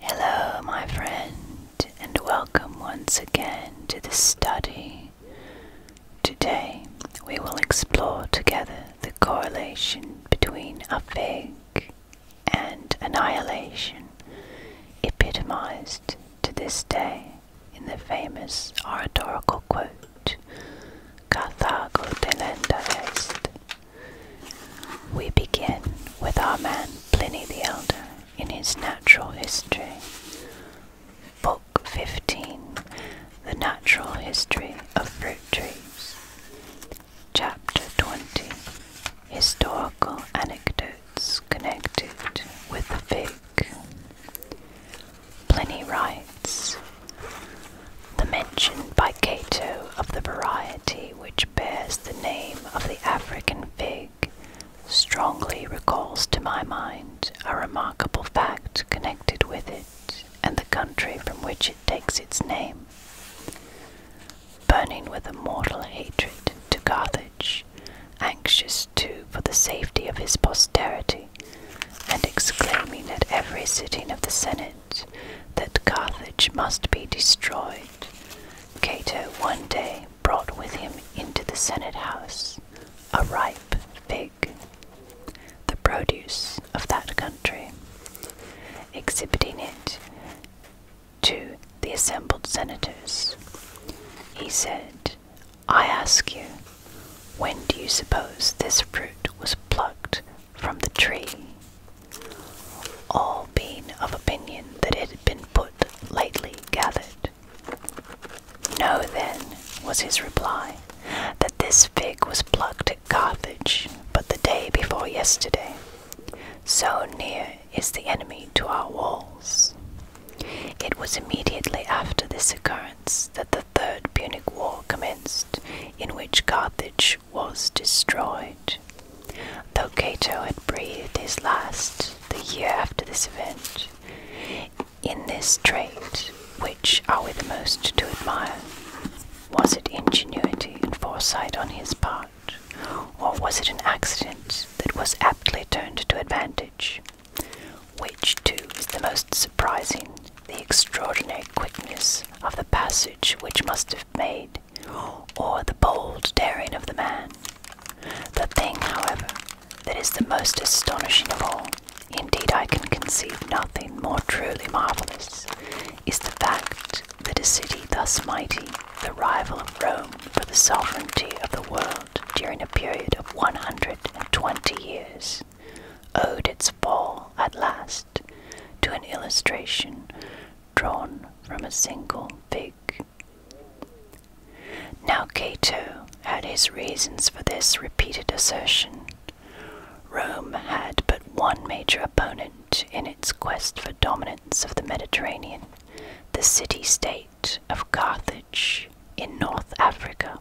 Hello, my friend, and welcome once again to the study. Today, we will explore together the correlation between affig and annihilation, epitomized to this day in the famous oratorical quote Carthago we begin with our man Pliny the Elder in his Natural History, Book 15, The Natural History of Fruit Trees, Chapter 20, Historical Anecdotes Connected with the Fig. Pliny writes, the mention by Cato of the variety which bears the name of the African fig, strongly recalls to my mind a remarkable fact connected with it and the country from which it takes its name. Burning with a mortal hatred to Carthage, anxious too for the safety of his posterity, and exclaiming at every sitting of the Senate, that Carthage must be destroyed, Cato one day brought with him into the Senate house a ripe fig, the produce of that country, exhibiting it to the assembled senators. He said, I ask you, when do you suppose this fruit was plucked from the tree? all being of opinion that it had been put lately gathered. No, then, was his reply, that this fig was plucked at Carthage but the day before yesterday. So near is the enemy to our walls. It was immediately after this occurrence that the Third Punic War commenced, in which Carthage was destroyed. Though Cato had breathed his last the year after this event, in this trait, which are we the most to admire? Was it ingenuity and foresight on his part, or was it an accident that was aptly turned to advantage? Which, too, is the most surprising, the extraordinary quickness of the passage which must have made or the bold daring of the man. The thing, however, that is the most astonishing of all, indeed I can conceive nothing more truly marvellous, is the fact that a city thus mighty, the rival of Rome for the sovereignty of the world during a period of 120 years, owed its fall at last to an illustration drawn from a single fig. Now Cato had his reasons for this repeated assertion. Rome had but one major opponent in its quest for dominance of the Mediterranean, the city state of Carthage in North Africa.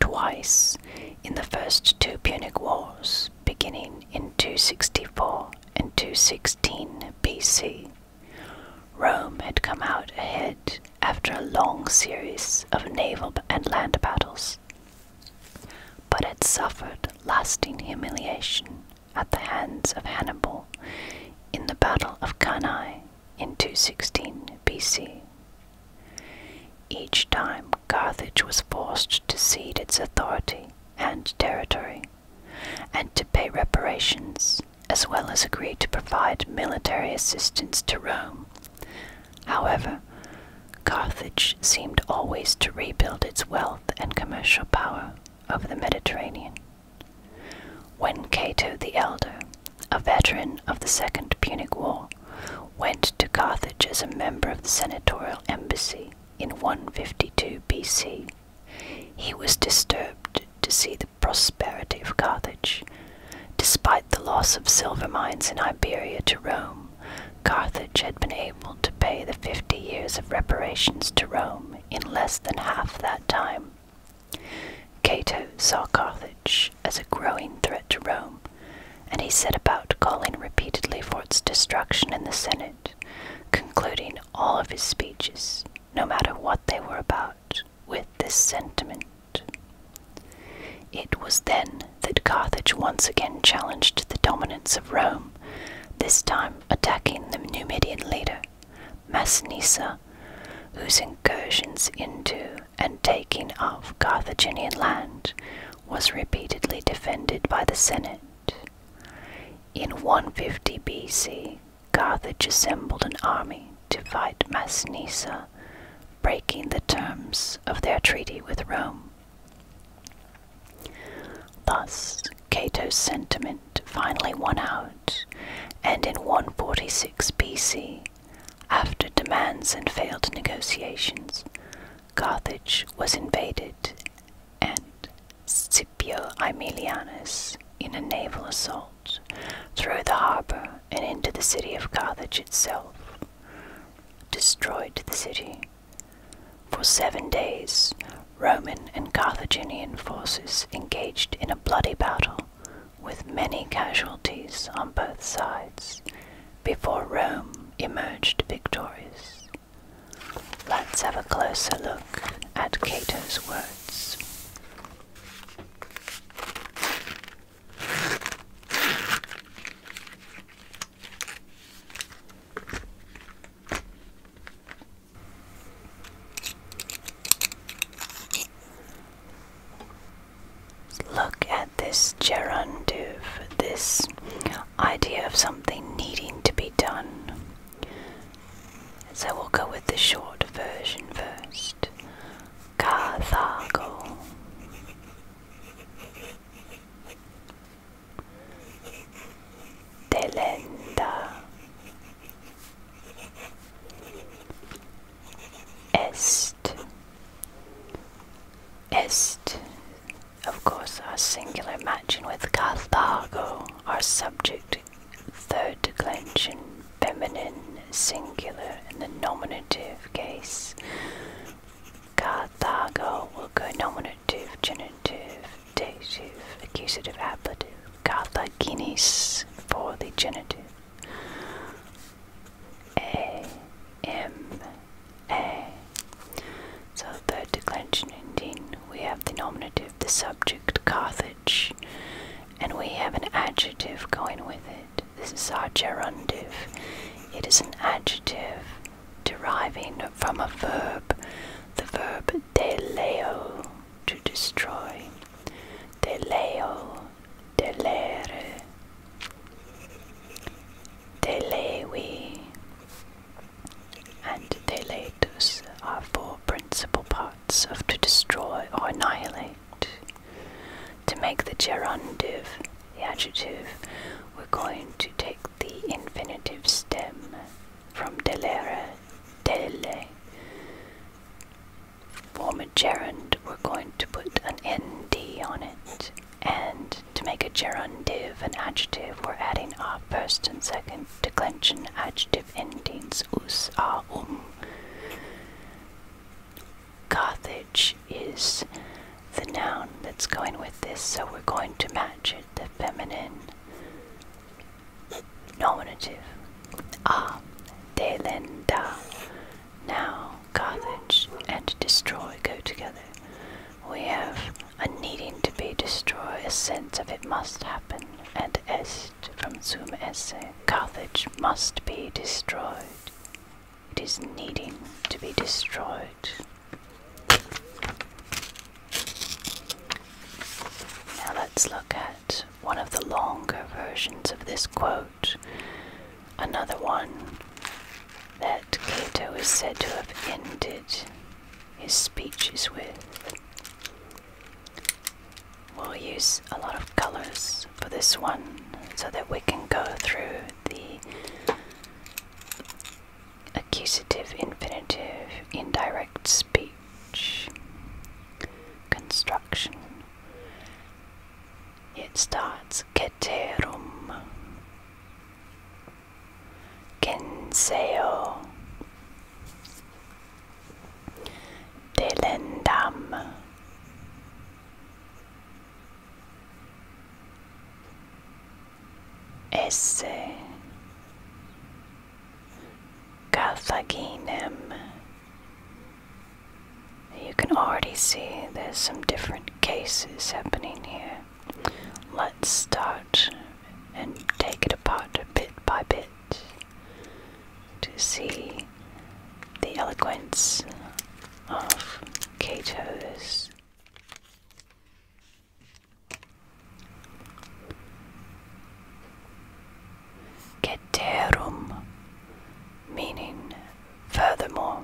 Twice in the first two Punic Wars, beginning in 264 in 216 BC. Rome had come out ahead after a long series of naval and land battles, but had suffered lasting humiliation at the hands of Hannibal in the Battle of Cannae in 216 BC. Each time Carthage was forced to cede its authority and territory, and to pay reparations, as well as agree to provide military assistance to Rome. However, Carthage seemed always to rebuild its wealth and commercial power over the Mediterranean. When Cato the Elder, a veteran of the Second Punic War, went to Carthage as a member of the senatorial embassy in 152 BC, he was disturbed to see the prosperity of Carthage. Despite the loss of silver mines in Iberia to Rome, Carthage had been able to pay the fifty years of reparations to Rome in less than half that time. Cato saw Carthage as a growing threat to Rome, and he set about calling repeatedly for its destruction in the Senate, concluding all of his speeches, no matter what they were about, with this sentiment. It was then that Carthage once again challenged the dominance of Rome, this time attacking the Numidian leader, Massinissa, whose incursions into and taking of Carthaginian land was repeatedly defended by the Senate. In 150 BC, Carthage assembled an army to fight Massinissa, breaking the terms of their treaty with Rome. Thus, Cato's sentiment finally won out, and in 146 BC, after demands and failed negotiations, Carthage was invaded and Scipio Aemilianus in a naval assault through the harbour and into the city of Carthage itself, destroyed the city. For seven days, Roman and Carthaginian forces engaged in a bloody battle with many casualties on both sides before Rome emerged victorious. Let's have a closer look at Cato's words. Look at this gerundive, this idea of something needing to be done. So we'll go with the short version first. Carthago. Delenda. Est. Est, of course, our singular matching with Carthago are subject third declension, feminine, singular in the nominative case. Kathago will go nominative, genitive, dative, accusative, ablative. Kathaginis for the genitive. A, M, A. So the declension ending, we have the nominative, the subject, Carthage, and we have an adjective going with it. This is our gerundive. It is an adjective deriving from a verb, the verb deleo, to destroy. Deleo, delere, delewi, and their are four principal parts of to destroy or annihilate. To make the gerundive, the adjective, we're going to take the infinitive stem from delere, dele. For a gerund, we're going to put an nd on it. And to make a gerundive, an adjective, we're adding our first and second declension adjective adjective endings -us um. Carthage is the noun that's going with this, so we're going to match it the feminine nominative. Ah, delenda. Now, Carthage and destroy go together. We have a needing to be destroyed, a sense of it must happen, and est from sum esse, Carthage must be destroyed. It is needing to be destroyed. Now let's look at one of the longer versions of this quote, another one that Cato is said to have ended his speeches with. We'll use a lot of colors for this one so that we can go through the accusative, infinitive, indirect speech, construction. It starts keterum, kenseo, Delendam. Esse Carthaginem. You can already see there's some different cases happening here. Let's start and take it apart bit by bit to see the eloquence of Cato's Ceterum, meaning furthermore,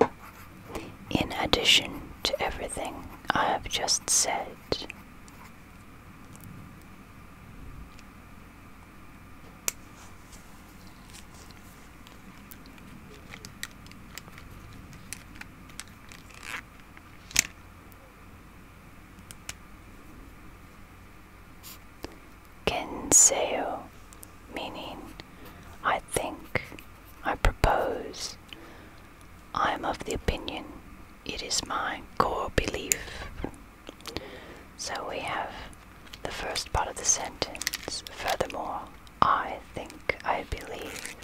in addition to everything I have just said, Ken seyo, meaning I think, I propose, I am of the opinion, it is my core belief. So we have the first part of the sentence. Furthermore, I think I believe.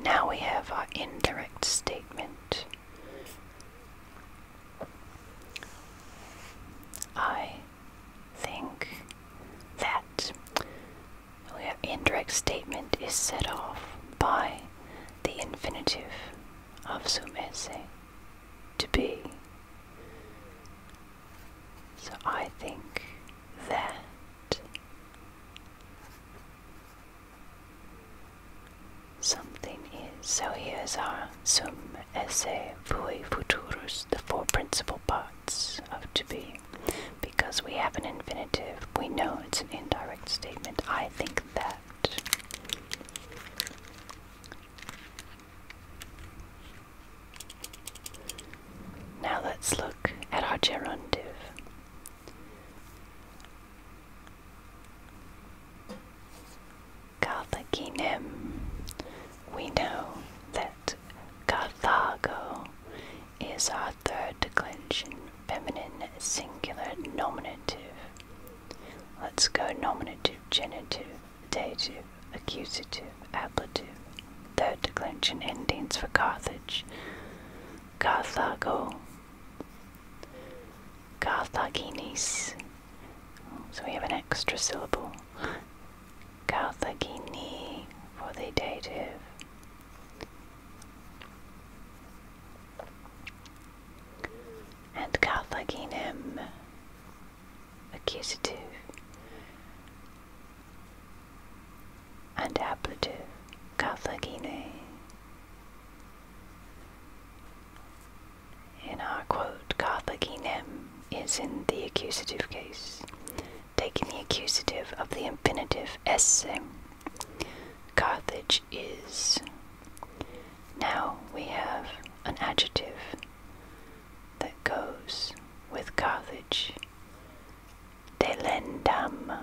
Now we have our indirect statement. I think that our indirect statement is set off by the infinitive of sumese, to be. So I think that something is. So here's our sum esse vui futuros, the four principal parts of to be. Because we have an infinitive, we know it's an indirect statement. I think that now let's look at our gerundive. Carthaginem. We know that Carthago is our third declension feminine singular nominative. Let's go nominative, genitive, dative, accusative, ablative. Third declension endings for Carthage. Carthago. Carthaginis. Oh, so we have an extra syllable. Carthagini for the dative and Carthaginem, accusative and ablative, Carthagine. In our quote, Carthaginem is in the accusative case, taking the accusative of the infinitive esse. Carthage is now we have an adjective that goes with Carthage. Delendam.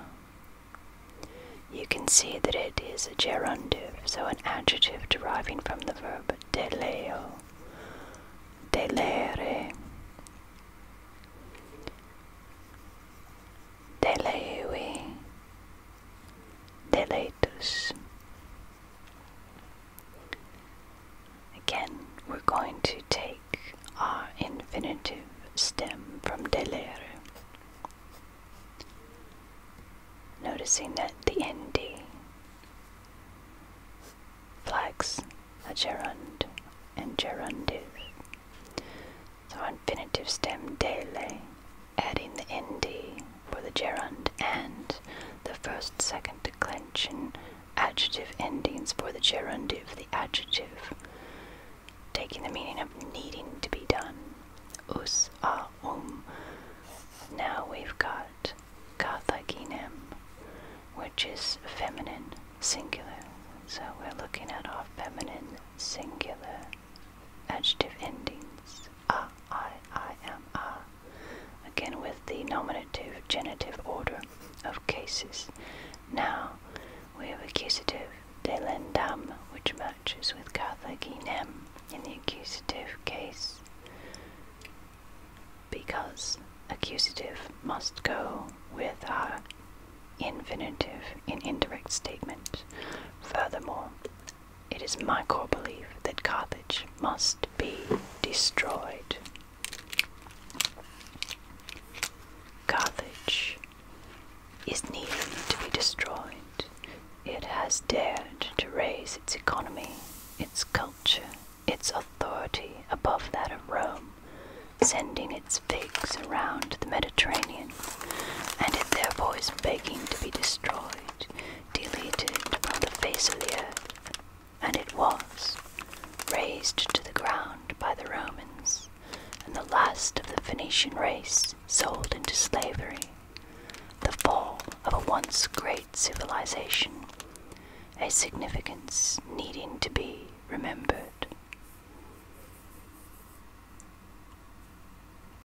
You can see that it is a gerundive, so an adjective deriving from the verb deleo, deleere. Teleui, Teleitus. Again, we're going to take our infinitive stem from delere. Noticing that the nd flags a gerund and gerundive. So infinitive stem dele adding the nd for the gerund and the first second declension adjective endings for the gerundive, the adjective, taking the meaning of needing to be done. Us a um. Now we've got kathaginem, which is feminine singular. So we're looking at our feminine singular adjective endings a, i, i, am, a, again with the nominative genitive order of cases. Now we have accusative delendam, which matches with kathaginem in the accusative case because accusative must go with our infinitive in indirect statement. Furthermore, it is my core belief that Carthage must be destroyed. Carthage is needing to be destroyed. It has dared to raise its economy, its culture, its authority above that of Rome, sending its figs around the Mediterranean, and it therefore is begging to be destroyed deleted from the face of the earth, and it was razed to the ground by the Romans, and the last of the Phoenician race sold into slavery. The fall of a once great civilization, a significance needing to be remembered.